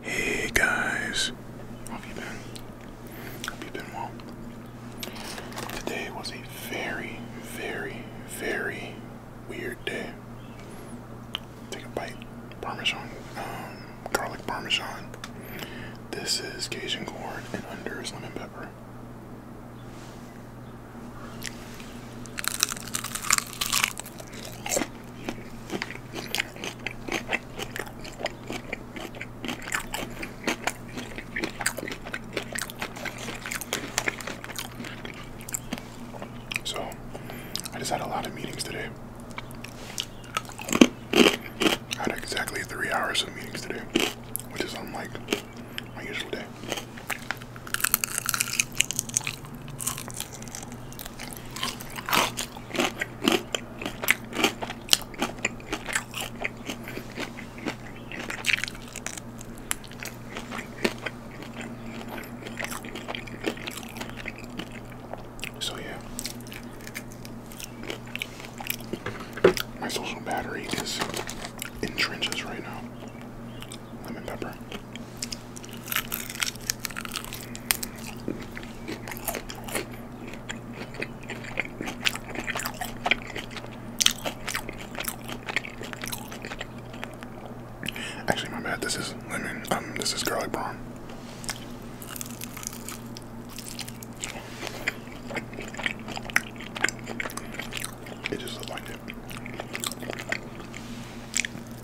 Hey guys, how have you been? Hope you been well. Today was a very, very, very weird day. Take a bite. Parmesan, um, garlic parmesan. This is Cajun corn and under is lemon pepper. So, I just had a lot of meetings today. I had exactly three hours of meetings today, which is unlike my usual day. So, yeah, my social battery is in trenches right now. Lemon pepper. Actually, my bad. This is lemon. Um, this is garlic prawn. It just looked like it.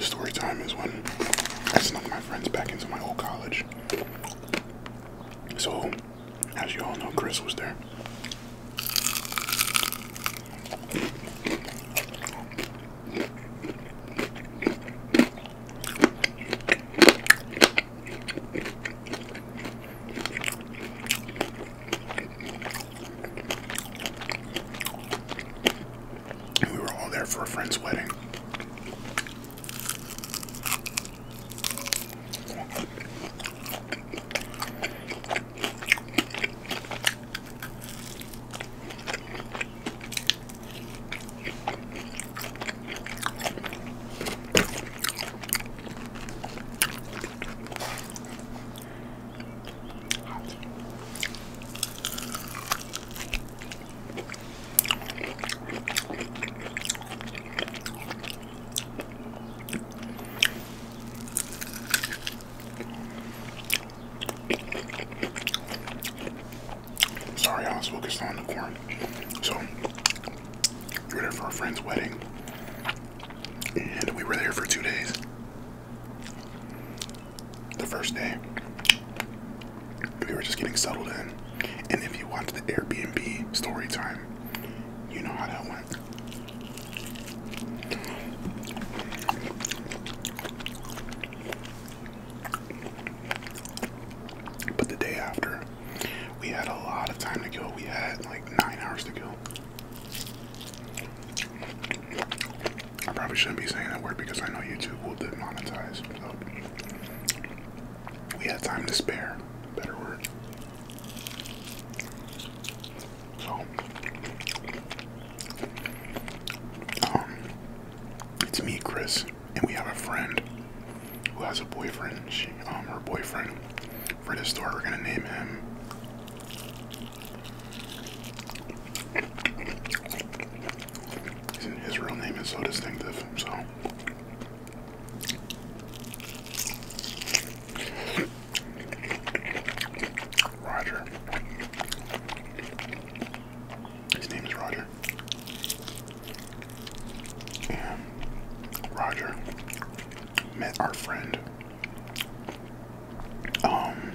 Story time is when I snuck my friends back into my old college. So, as you all know, Chris was there we were all there for a friend's wedding. Sorry, I was focused on the corn. So, we were there for a friend's wedding, and we were there for two days the first day we were just getting settled in and if you watched the airbnb story time you know how that went but the day after we had a lot of time to kill we had like nine hours to kill I probably shouldn't be saying that word because I know YouTube will demonetize. So we had time to spare. Better word. So um, it's me, Chris, and we have a friend who has a boyfriend. She, um, her boyfriend for this story, We're gonna name him his real name is so distinctive, so. Roger. His name is Roger. And Roger met our friend um,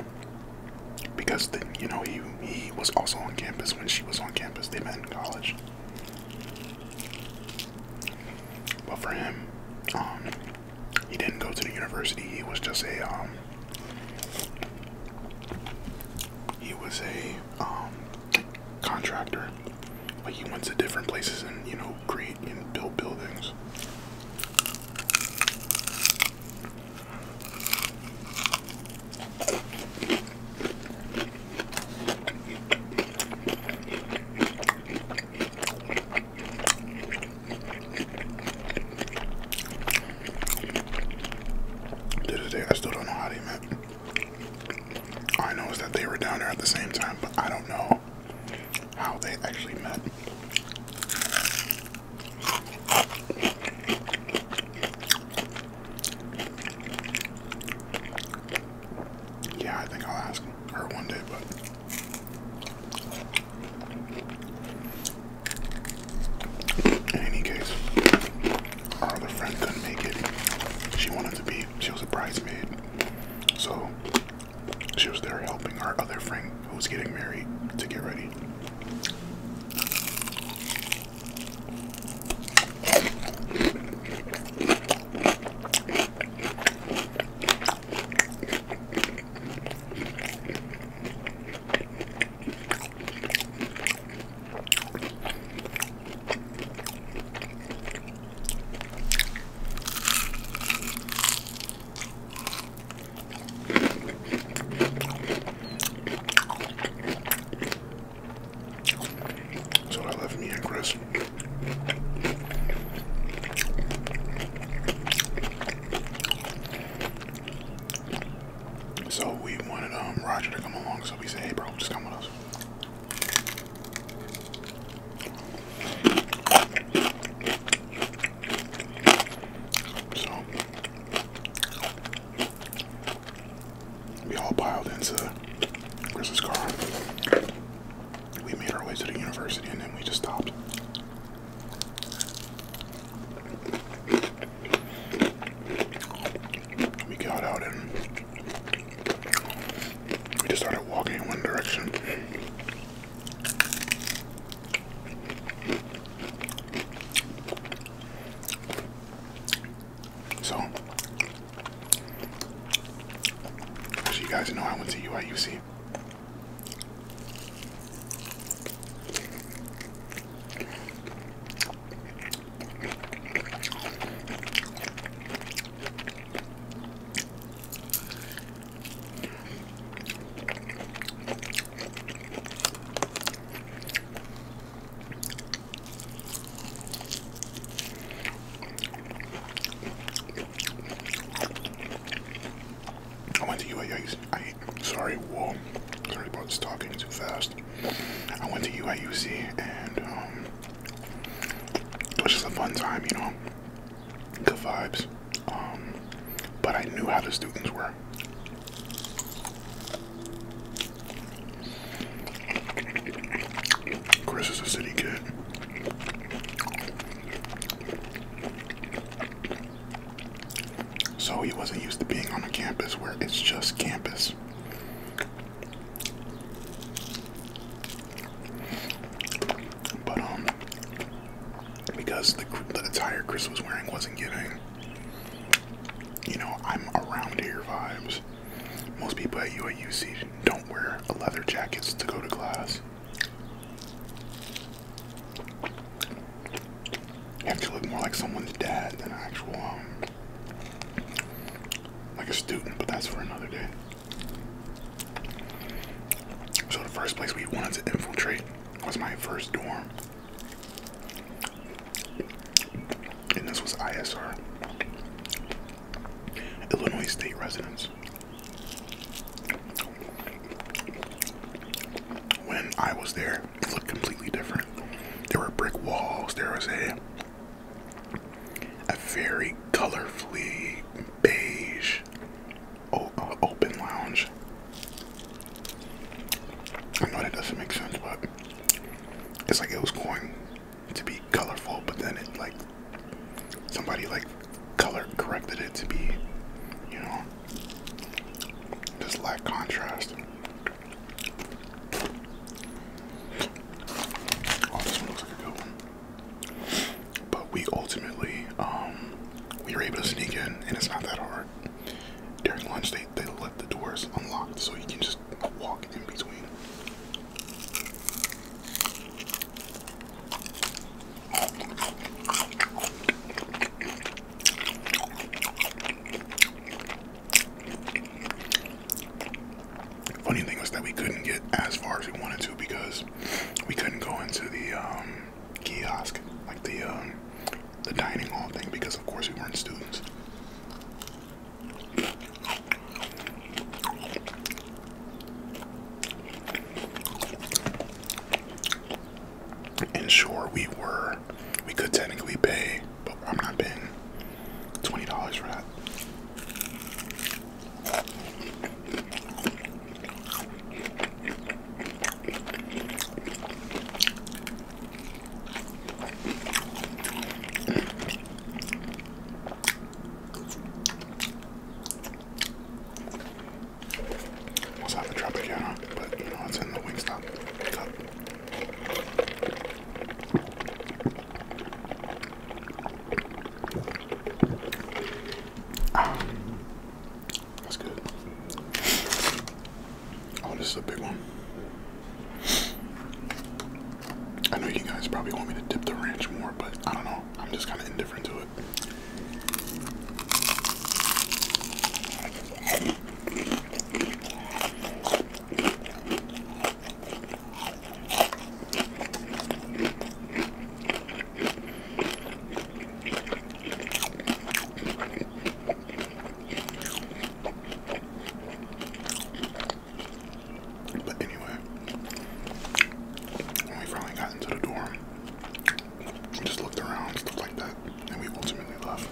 because the, you know he he was also on campus when she was on campus. They met in college. But for him, um, he didn't go to the university. He was just a um. He was a um contractor. Like he went to different places and you know create and build buildings. To this day, I still don't know how they met. I know that they were down there at the same time, but I don't know how they actually met. Yeah, I think I'll ask her one day, but in any case, our other friend couldn't make it. She wanted to be, she was a bridesmaid. So she was there helping our other friend who was getting married to get ready. So I left me and Chris. So we wanted um Roger to come along, so we said, hey bro, just come with us. So we all piled into Chris's car. We made our way to the university and then we just stopped. We got out and we just started walking in one direction. So, you guys know, I went to UIUC. I went to UAU. I sorry, whoa, sorry about talking too fast. I went to UIUC and um, it was just a fun time, you know good vibes. Um, but I knew how the students were. Chris is a city kid. So he wasn't used to being on a campus where it's just campus. But um because the, the attire Chris was wearing wasn't giving, you know, I'm around here vibes. Most people at UAUC don't wear leather jackets to go to class. You have to look more like someone's dad than an actual, um, like a student, but that's for another day. So the first place we wanted to infiltrate was my first dorm. And this was ISR, Illinois State Residence. When I was there, it looked completely different. There were brick walls, there was a a very colorfully beige o uh, open lounge. I know that doesn't make sense, but it's like it was going to be colorful, but then it like somebody like color corrected it to be, you know, just lack contrast. Oh, this one looks like a good one but we ultimately um, we were able to sneak in, and it's not that hard. During lunch, they they left the doors unlocked, so you can just walk in between. Funny thing was that we couldn't get as far as we wanted to because we couldn't go into the um, kiosk, like the um, the dining hall thing, because of course we weren't students. And sure, we were, we could technically pay, but I'm not paying $20 for that. Was on the Tropicana, but you know it's in the Wingstop cup. Um, that's good. Oh, this is a big one. I know you guys probably want me to dip the ranch more, but I don't know. I'm just kind of indifferent to it. But anyway, we finally got into the dorm, we just looked around, stuff like that, and we ultimately left.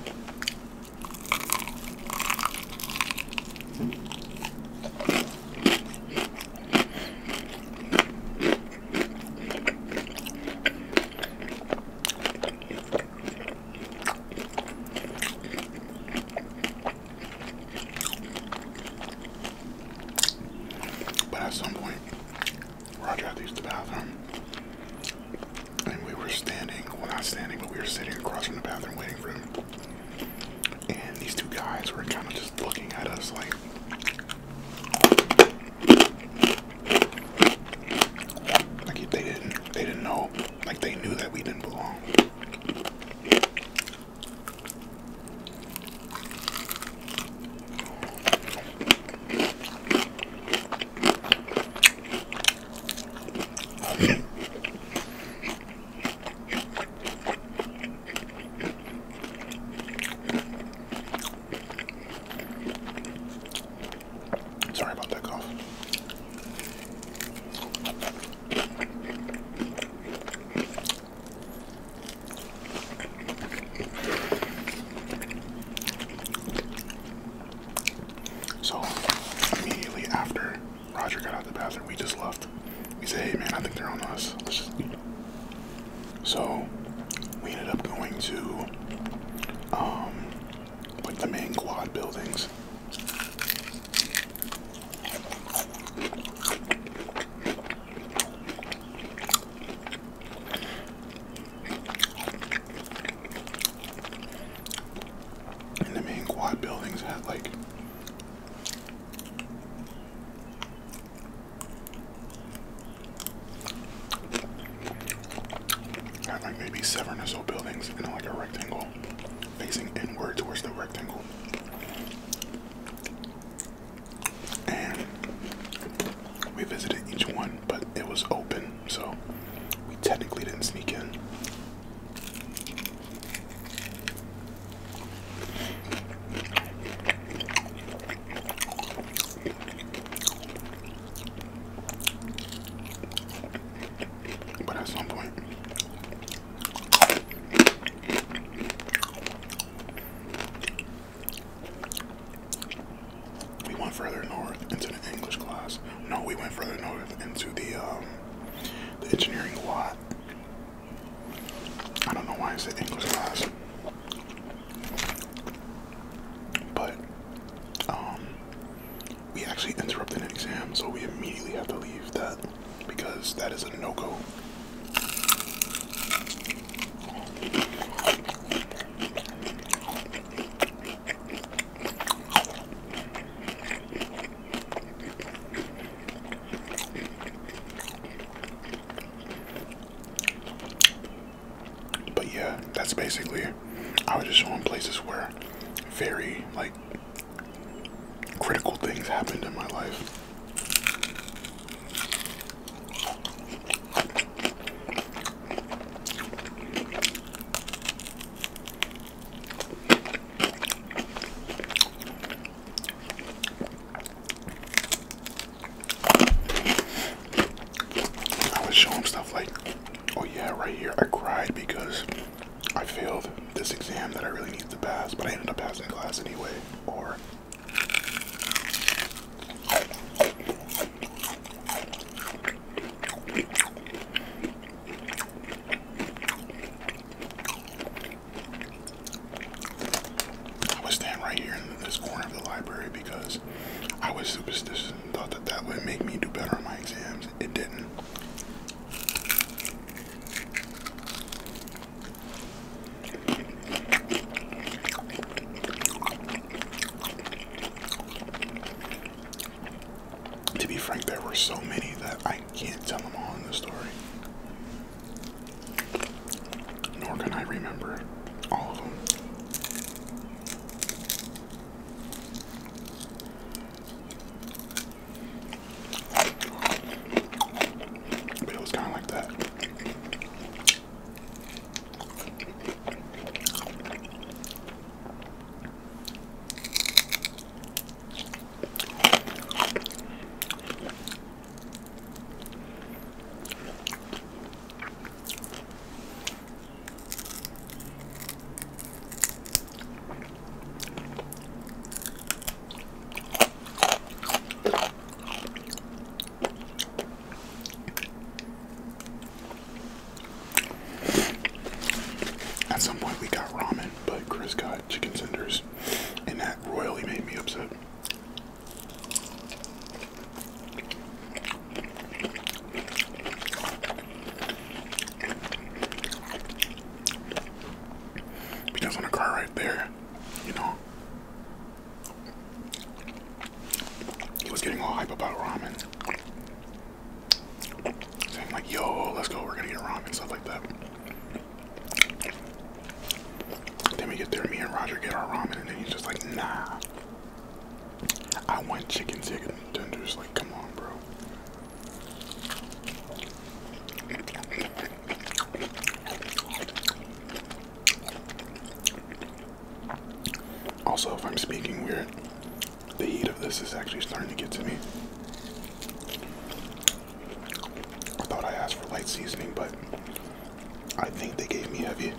But at some point, Roger had to use the bathroom. And we were standing, well, not standing, but we were sitting across from the bathroom waiting for him. And these two guys were kind of just looking at us like, like they didn't, they didn't know. Like they knew that we didn't belong. Sorry about that cough. So immediately after Roger got out of the bathroom, we just left. We said, "Hey, man, I think they're on us. So we ended up going to um, like the main quad buildings. And the main quad buildings had like had like maybe seven or so buildings in like a rectangle facing inward towards the rectangle. And we visited each one, but it was open, so we technically didn't sneak in. But at some point, we went further north into the English class. No, we went further north into the um, the engineering lot. I don't know why it's the English class. But um, we actually interrupted an exam, so we immediately have to leave that because that is a no-go. But yeah, that's basically. I was just showing places where very like critical things happened in my life. I would show him stuff like, oh yeah, right here. I cried because I failed this exam that I really needed to pass, but I ended up passing class anyway. Or I was standing right here in this corner of the library because I was superstitious and thought that that would make me do better on my exams. It didn't. To be frank, there were so many that I can't tell them all in the story. Nor can I remember all of them. But it was kind of like that. At some point, we got ramen, but Chris got chicken tenders, and that royally made me upset. Because on the car right there, you know, he was getting all hype about ramen. Saying like, yo, let's go, we're gonna get ramen, stuff like that. Then we get there, me and Roger get our ramen, and then he's just like, nah. I want chicken chicken tenders. Like, come on, bro. Also, if I'm speaking weird, the heat of this is actually starting to get to me. I thought I asked for light seasoning, but I think they gave me heavy.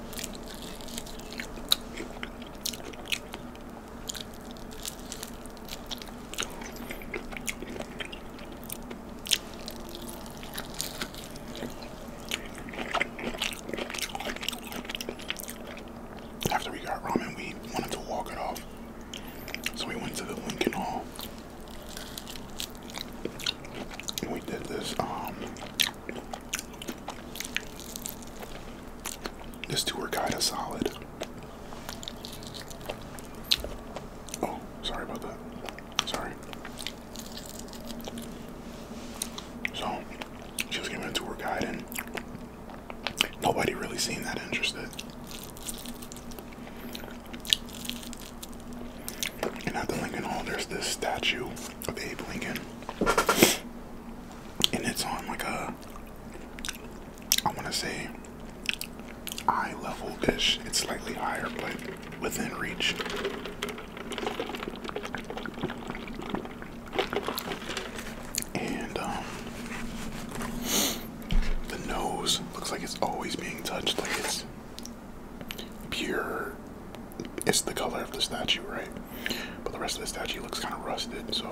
After we got ramen, we wanted to walk it off. So we went to the Lincoln Hall we did this um this tour guide a solid. Oh, sorry about that. Sorry. So she was giving a tour guide and nobody really seemed that interested. And at the Lincoln Hall, there's this statue of Abe Lincoln, and it's on like a, I want to say, eye level ish. It's slightly higher, but within reach. And um, the nose looks like it's always being touched, like it's pure it's the color of the statue, right? But the rest of the statue looks kind of rusted, so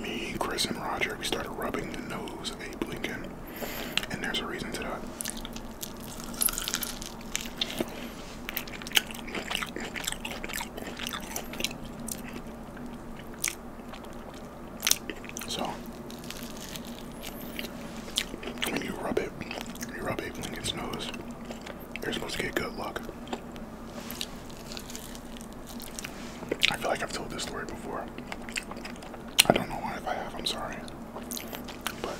me, Chris, and Roger, we started rubbing the nose of Abe Lincoln and there's a reason to that. So when you rub it, you rub it when nose. You're supposed to get good luck. I feel like I've told this story before. I don't know why if I have, I'm sorry. But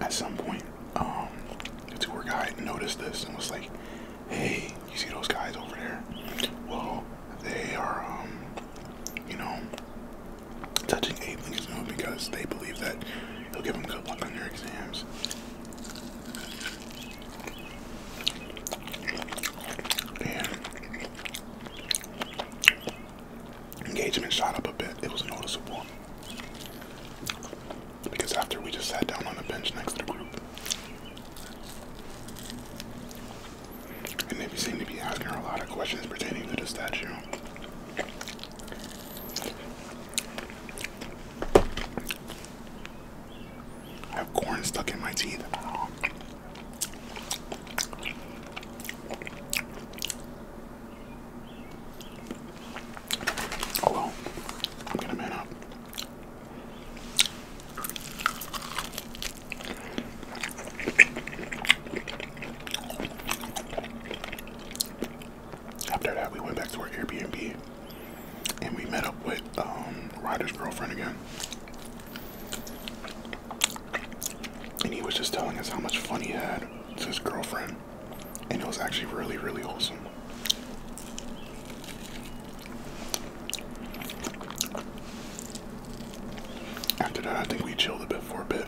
at some point, um, the tour guide noticed this and was like, hey, you see those guys over there? Well, they are, um, you know, touching aliens you know, because they believe that it'll give them good luck on their exams engagement shot up a bit. It was noticeable because after we just sat down on the bench next to the group, and they seemed to be asking a lot of questions pertaining to the statue. I have corn stuck in my teeth. Oh, After that, we went back to our Airbnb and we met up with um, Ryder's girlfriend again. And he was just telling us how much fun he had with his girlfriend. And it was actually really, really awesome. After that, I think we chilled a bit for a bit.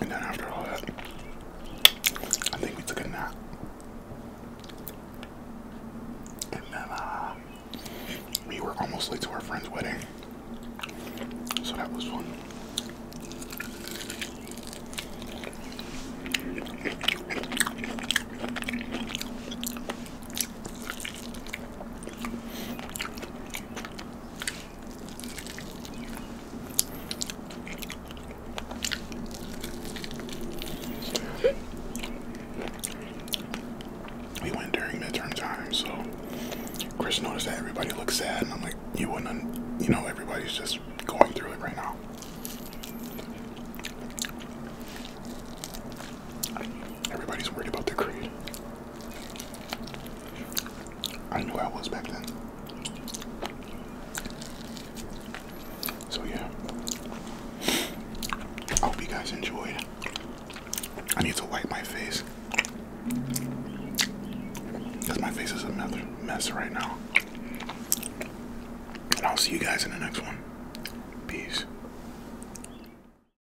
And then after all that, I think we took a nap. Uh, we were almost late to our friend's wedding. So that was fun. We went during midterm time, so Chris noticed that everybody looked sad, and I'm like, you wouldn't, you know, everybody's just going through it right now. Everybody's worried about the grade. I knew I was back then. So yeah. I hope you guys enjoyed. I need to wipe my face. Because my face is another mess right now. And I'll see you guys in the next one. Peace.